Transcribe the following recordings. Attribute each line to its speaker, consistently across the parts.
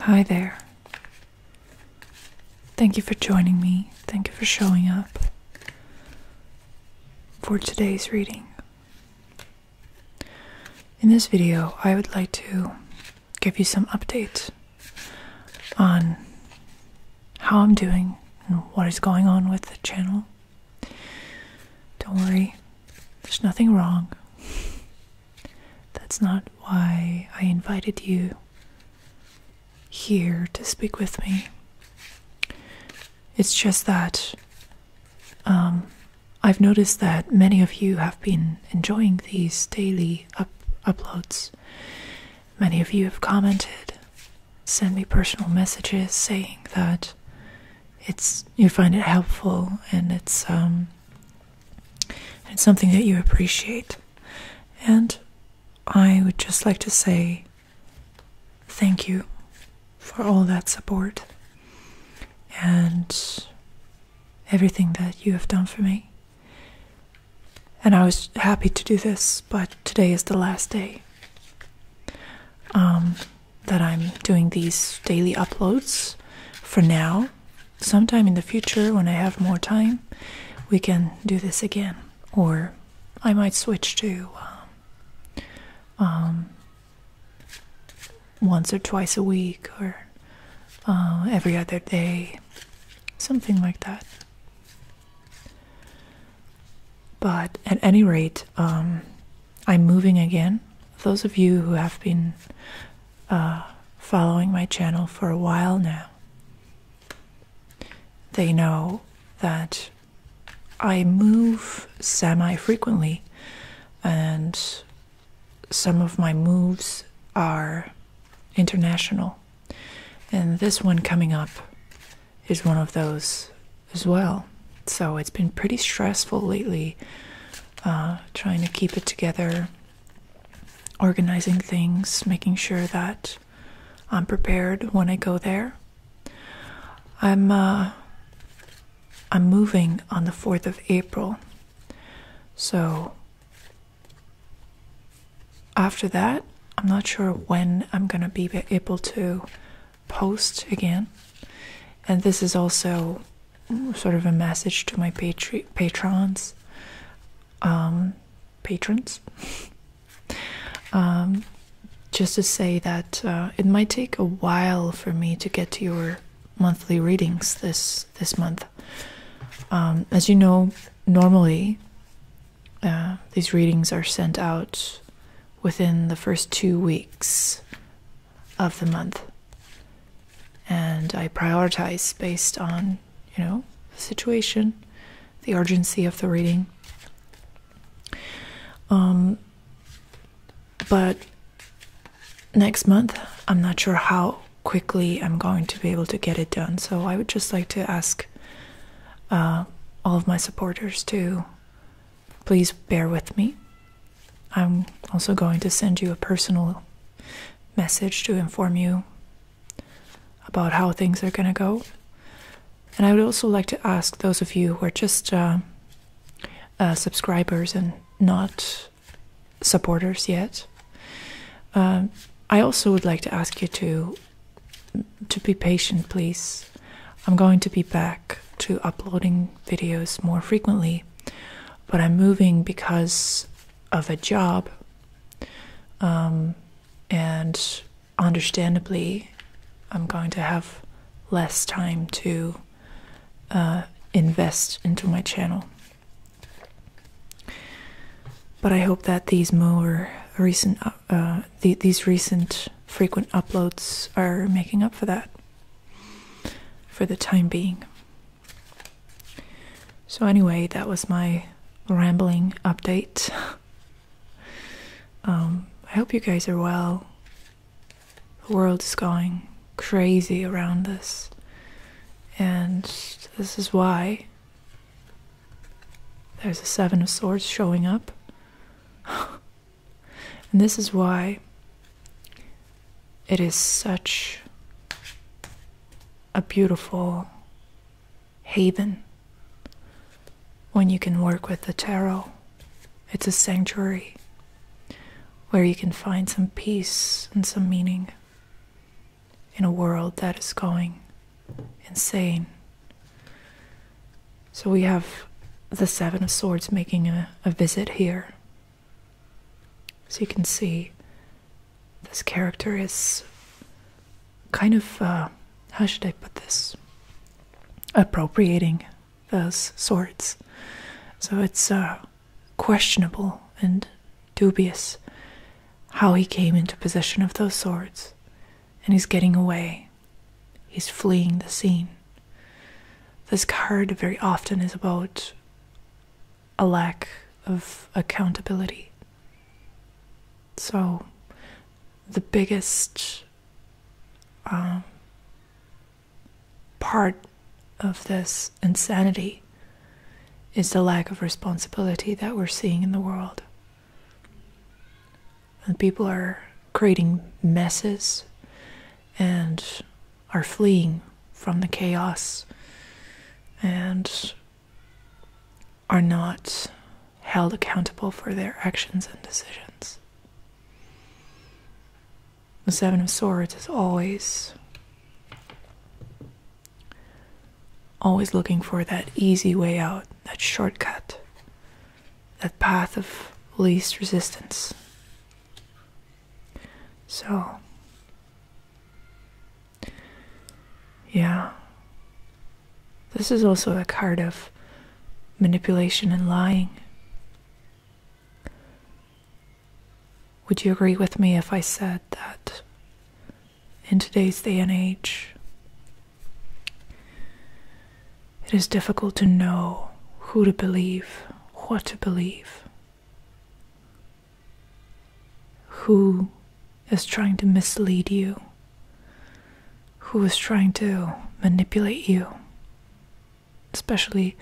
Speaker 1: Hi there. Thank you for joining me. Thank you for showing up for today's reading. In this video, I would like to give you some updates on how I'm doing and what is going on with the channel. Don't worry, there's nothing wrong. That's not why I invited you here to speak with me. It's just that um, I've noticed that many of you have been enjoying these daily up uploads Many of you have commented, send me personal messages saying that it's you find it helpful and it's um it's something that you appreciate. And I would just like to say thank you for all that support. And everything that you have done for me. And I was happy to do this, but today is the last day um, that I'm doing these daily uploads for now. Sometime in the future, when I have more time, we can do this again. Or I might switch to um, um once or twice a week or uh, every other day, something like that. But at any rate, um, I'm moving again. Those of you who have been uh, following my channel for a while now, they know that I move semi frequently and some of my moves are international, and this one coming up is one of those as well. So it's been pretty stressful lately uh, trying to keep it together, organizing things, making sure that I'm prepared when I go there. I'm uh, I'm moving on the 4th of April so after that, I'm not sure when I'm gonna be able to post again. And this is also sort of a message to my patrons, um, patrons, um, just to say that uh, it might take a while for me to get to your monthly readings this this month. Um, as you know, normally uh, these readings are sent out within the first two weeks of the month, and I prioritize based on you know the situation, the urgency of the reading. Um, but next month i'm not sure how quickly i'm going to be able to get it done so i would just like to ask uh, all of my supporters to please bear with me i'm also going to send you a personal message to inform you about how things are going to go and i would also like to ask those of you who are just uh, uh, subscribers and not supporters yet. Um, I also would like to ask you to to be patient, please. I'm going to be back to uploading videos more frequently, but I'm moving because of a job, um, and understandably, I'm going to have less time to uh, invest into my channel. But I hope that these more recent, uh, these recent frequent uploads are making up for that for the time being. So, anyway, that was my rambling update. Um, I hope you guys are well. The world is going crazy around us, and this is why there's a Seven of Swords showing up. and this is why it is such a beautiful haven when you can work with the tarot it's a sanctuary where you can find some peace and some meaning in a world that is going insane. So we have the Seven of Swords making a, visit here. So you can see this character is kind of, uh, how should I put this? Appropriating those swords. So it's uh, questionable and dubious how he came into possession of those swords. And he's getting away. He's fleeing the scene. This card very often is about a lack of accountability. So, the biggest um, part of this insanity is the lack of responsibility that we're seeing in the world. people are creating messes and are fleeing from the chaos and are not held accountable for their actions and decisions. The Seven of Swords is always, always looking for that easy way out, that shortcut, that path of least resistance. So, yeah, this is also a card of manipulation and lying. Would you agree with me if I said that in today's day and age, it is difficult to know who to believe, what to believe, who is trying to mislead you? who is trying to manipulate you, especially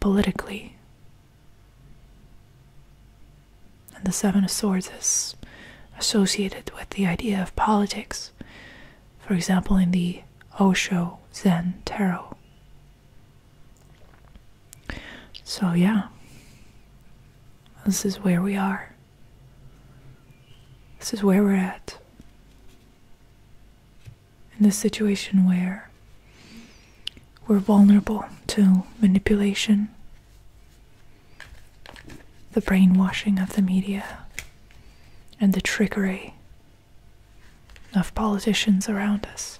Speaker 1: politically. And the Seven of Swords is associated with the idea of politics, for example, in the Osho Zen Tarot. So, yeah, this is where we are. This is where we're at. In this situation where we're vulnerable to manipulation, the brainwashing of the media, and the trickery of politicians around us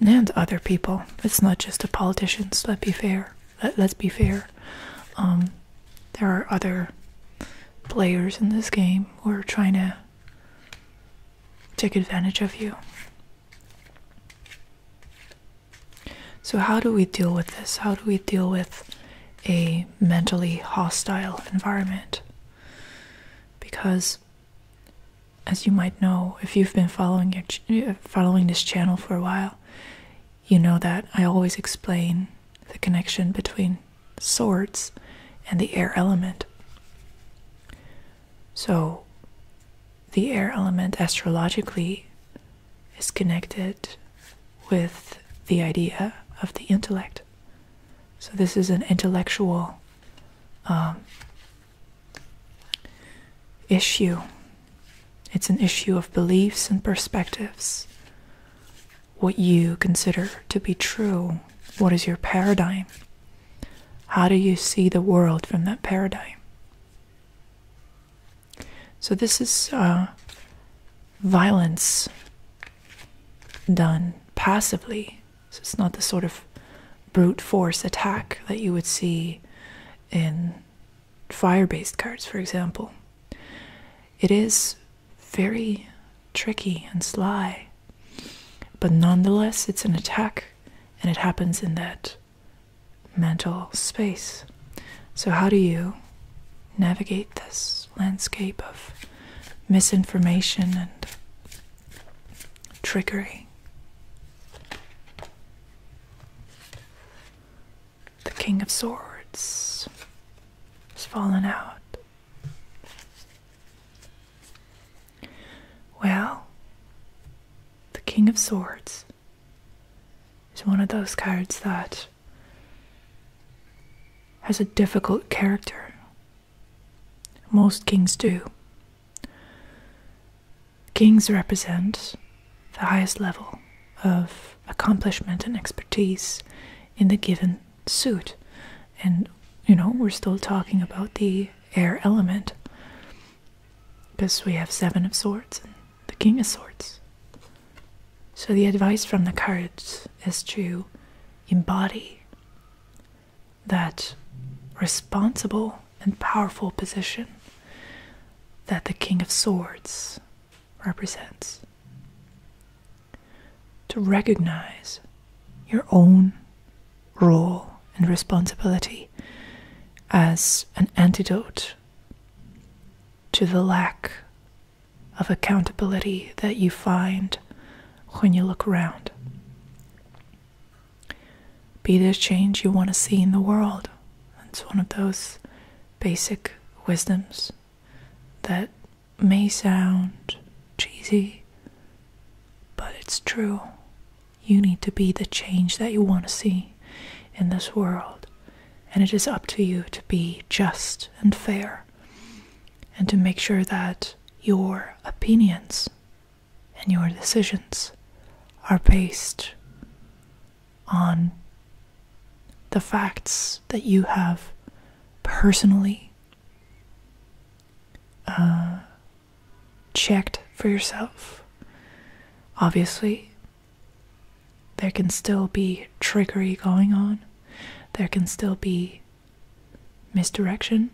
Speaker 1: and other people. It's not just the politicians, let's be fair. Let, us be fair. Um, there are other players in this game who are trying to take advantage of you. So, how do we deal with this? How do we deal with a mentally hostile environment? Because, as you might know, if you've been following your following this channel for a while, you know that I always explain the connection between swords and the air element. So, the air element astrologically is connected with the idea of the intellect. So, this is an intellectual um, issue it's an issue of beliefs and perspectives. What you consider to be true. What is your paradigm? How do you see the world from that paradigm? So, this is uh, violence done passively. So, it's not the sort of brute force attack that you would see in fire based cards, for example. It is very tricky and sly, but nonetheless, it's an attack and it happens in that mental space. So, how do you navigate this landscape of misinformation and trickery? The King of Swords has fallen out. Well, the King of Swords is one of those cards that has a difficult character. Most kings do. Kings represent the highest level of accomplishment and expertise in the given suit. And, you know, we're still talking about the air element. Because we have Seven of Swords and the King of Swords. So the advice from the cards is to embody that responsible and powerful position that the King of Swords represents. To recognize your own role and responsibility as an antidote to the lack of accountability that you find when you look around. Be the change you want to see in the world. It's one of those basic wisdoms that may sound cheesy, but it's true. You need to be the change that you want to see in this world. And it is up to you to be just and fair and to make sure that your opinions and your decisions are based on the facts that you have personally uh, checked for yourself. Obviously, there can still be trickery going on, there can still be misdirection.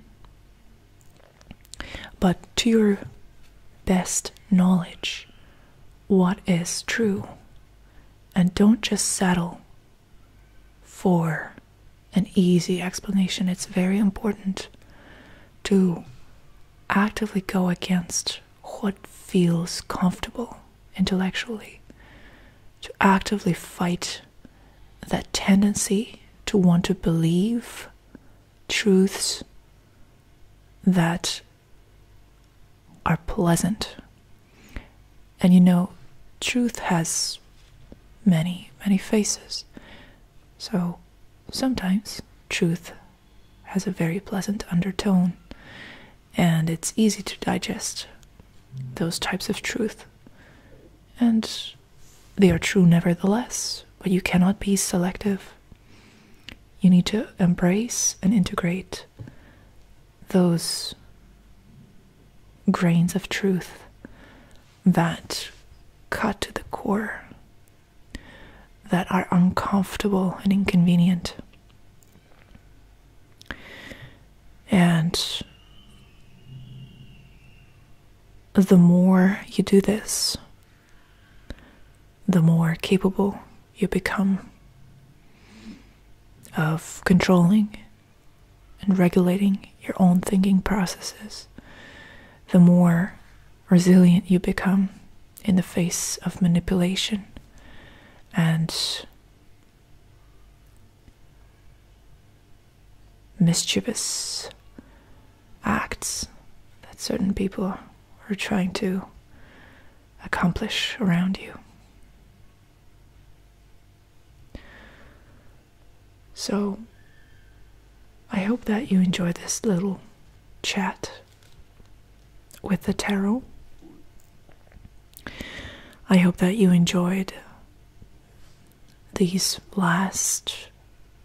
Speaker 1: But to your best knowledge, what is true? And don't just settle for an easy explanation. It's very important to actively go against what feels comfortable intellectually, to actively fight that tendency to want to believe truths that are pleasant. And you know, truth has many, many faces. So sometimes truth has a very pleasant undertone, and it's easy to digest those types of truth. And they are true nevertheless, but you cannot be selective. You need to embrace and integrate those grains of truth that cut to the core, that are uncomfortable and inconvenient. And the more you do this, the more capable you become of controlling and regulating your own thinking processes, the more resilient you become in the face of manipulation and mischievous acts that certain people are trying to accomplish around you. So, I hope that you enjoy this little chat with the tarot. I hope that you enjoyed these last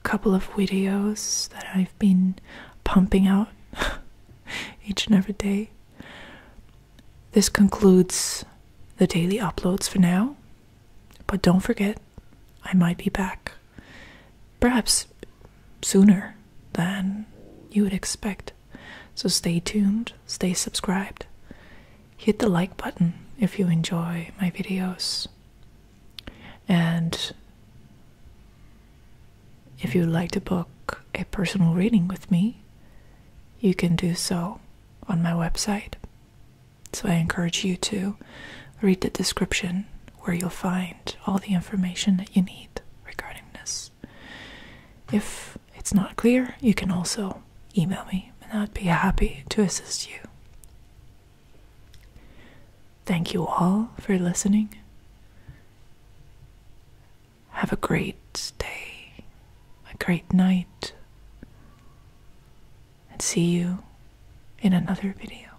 Speaker 1: couple of videos that I've been pumping out each and every day. This concludes the daily uploads for now, but don't forget, I might be back. Perhaps sooner than you would expect. So stay tuned, stay subscribed, hit the like button if you enjoy my videos. And if you'd like to book a personal reading with me, you can do so on my website. So I encourage you to read the description where you'll find all the information that you need regarding this. If it's not clear, you can also email me and I'd be happy to assist you. Thank you all for listening. Have a great day, a great night, and see you in another video.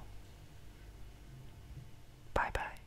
Speaker 1: Bye bye.